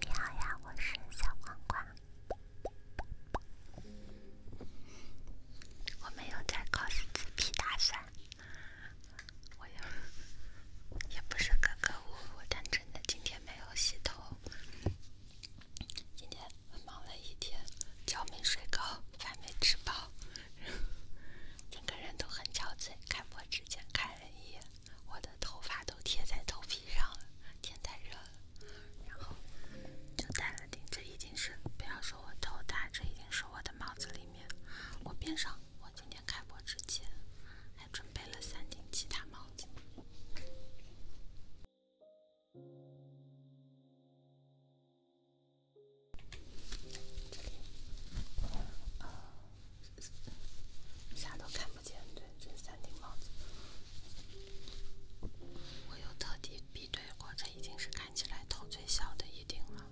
你好呀，我是小光光。我没有在搞自己皮打算，我也不是隔个午午，但真的今天没有洗头，今天忙了一天，觉没睡够，饭没吃饱。整个人都很憔悴。开播之前看了一眼，我的头发都贴在头皮上了，天太热了。然后就戴了顶，这一定是不要说我头大，这一定是我的帽子里面。我边上，我今天开播之前还准备了三顶其他帽子。这里呃，啥都看不见，对，这三顶帽子，我又特地比对过，这已经是看起来头最小的一顶了。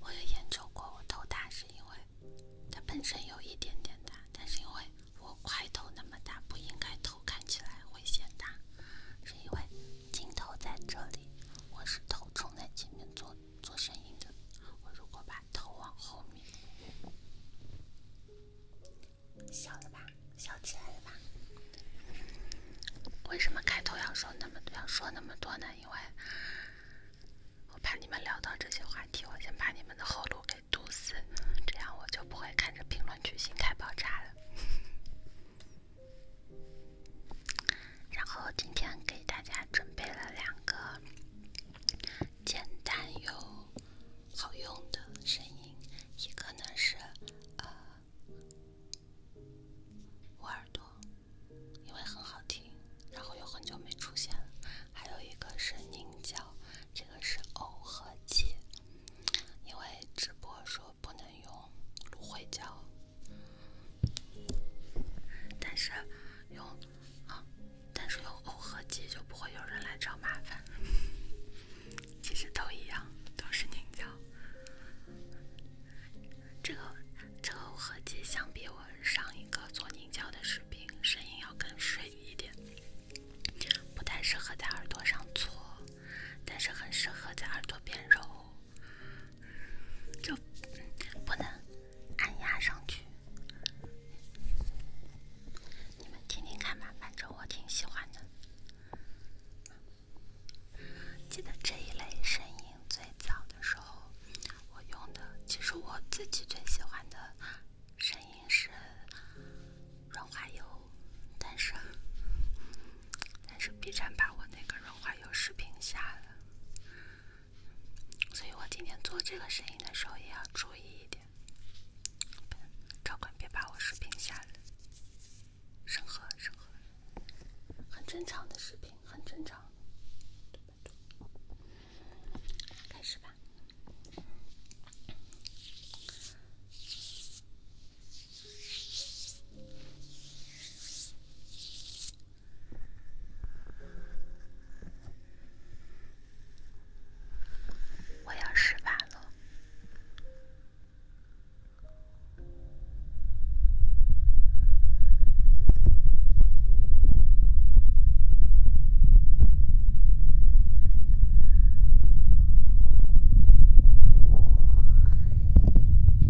我也研究过，我头大是因为它本身有一点点大，但是因为我块头那么大，不应该头看起来会显大，是因为镜头在这里，我是头冲在前面做的。做生意的，我如果把头往后面，笑了吧，笑起来了吧？为什么开头要说那么多？要说那么多呢？因为我怕你们聊到这些话题，我先把你们的后路给堵死，这样我就不会看着评论区心态爆炸了。然后今天给大家准备了两个简单又好用的声音，一个呢是呃捂耳朵，因为很好听，然后又很久没出现了；还有一个是凝胶，这个是耦合剂，因为直播说不能用芦荟胶。但是用啊，但是用耦合剂就不会有人来找麻烦。其实都一样，都是凝胶。这个这个耦合剂相比我上一个做凝胶的视频，声音要更水一点，不太适合在耳朵上搓，但是很适合在耳朵边揉。就不能按压上去。你们听听看嘛，反正我挺喜欢的。记得这一类声音最早的时候，我用的其实我自己最喜欢的，声音是润滑油，但是但是 B 站把我那个润滑油视频下了。所以我今天做这个声音的时候也要注意一点，保管别把我视频下了。审核审核，很正常的视频，很正常。开始吧。我要吃饭了。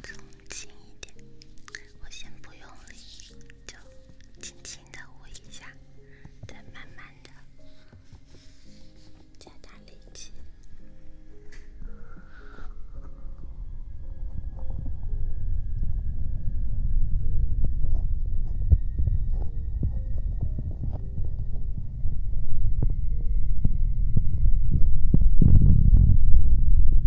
靠一点，我先不用力，就。轻轻的握一下，再慢慢的加大力气。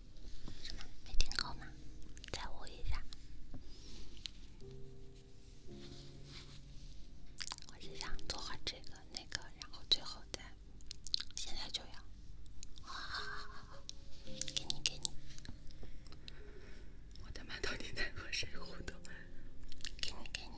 什么？没听够吗？再捂一下。我是想做会这个那个，然后最后再，现在就要。好好好好好，给你给你。我他妈到底在和谁互动？给你给你。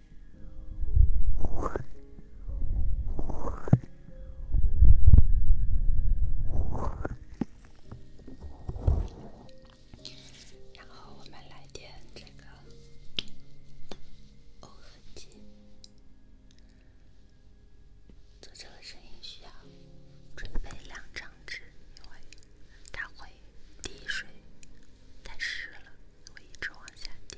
然后我们来点这个欧亨吉。做这个声音需要准备两张纸，因为它会滴水，太湿了，会一直往下滴。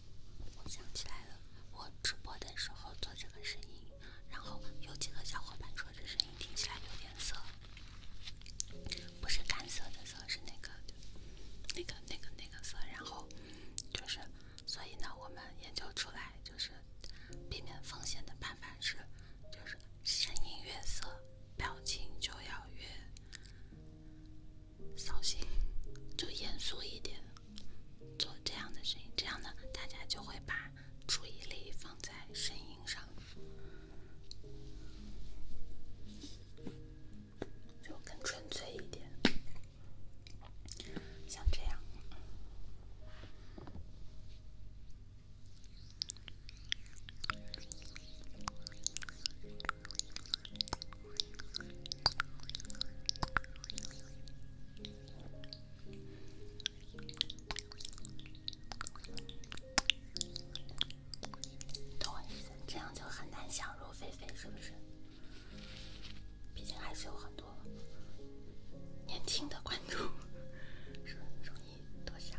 我想起来了，我直播的时候做这个声音，然后有几个小伙伴说这声音听起来有点涩，不是干涩的涩，是那个、那个、那个、那个涩。然后就是，所以呢，我们研究出来就是避免风险的办法是，就是声音越涩，表情就要越。扫兴，就严肃一点，做这样的声音，这样呢，大家就会把注意力放在声音上，就更纯粹一点，像这样。懂我意思，这样就很难想入非非，是不是？毕竟还是有很多年轻的观众，是容易多想。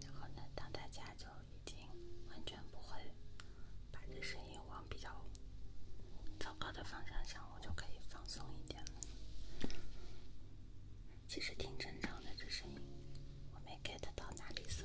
然后呢，当大家就已经完全不会把这声音往比较糟糕的方向想，我就可以放松一点了。其实挺正常的，这声音我没 get 到哪里色。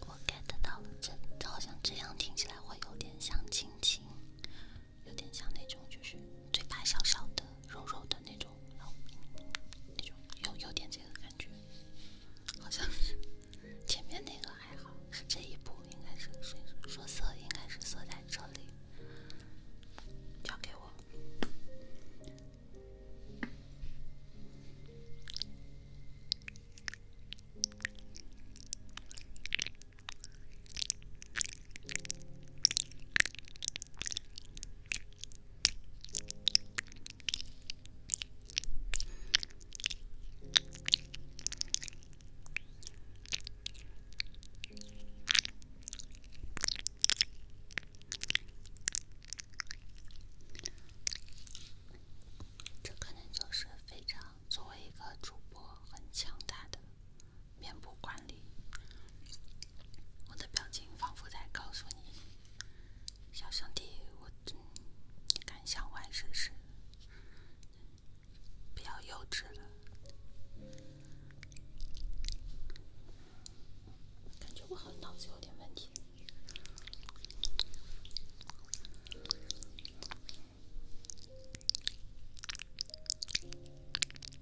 我 get 到了，这好像这样听起来会有点像亲亲。有点像那种，就是嘴巴小小的、肉肉的那种，然后那种有有点这个感觉，好像是前面那个还好，是这一步应该是说说色，应该是色在这里交给我。这可能就是非常作为一个主播很强大的。面部管理，我的表情仿佛在告诉你，小兄弟，我敢想玩是不是比较幼稚了？感觉我好像脑子有点问题。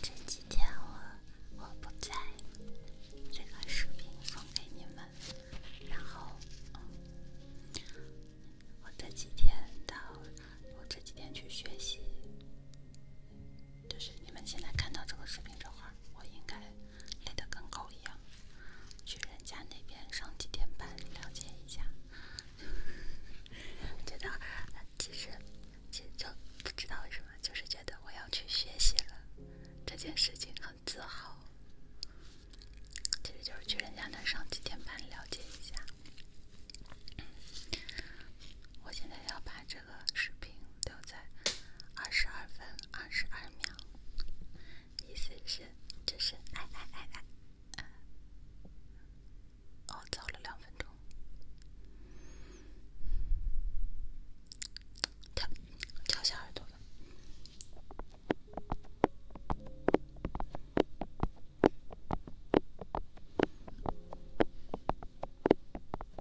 这几天我我不在，这个视频送给你们。然后我这几天到我这几天去学习。就是你们现在看到这个视频这块，我应该累得跟狗一样，去人家那边上几天班，了解一下。觉得其实其实就不知道为什么，就是觉得我要去学习了，这件事情很自豪。其实就是去人家那上几天班，了解一下。我现在要把这个视频留在二十二分二十二秒，意思是就是哎哎哎哎，哦，早了两分钟，跳跳小耳朵了。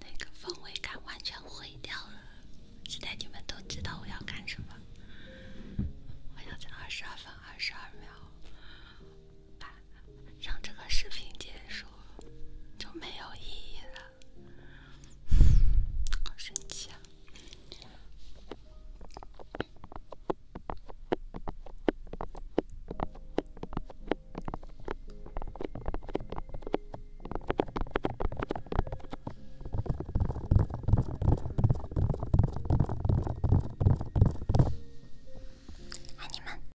那个氛围感完全毁掉了！现在你们都知道我要干什么。我要在二十二分二十二秒。让这个视频结束就没有意义了，好神奇啊！爱你们。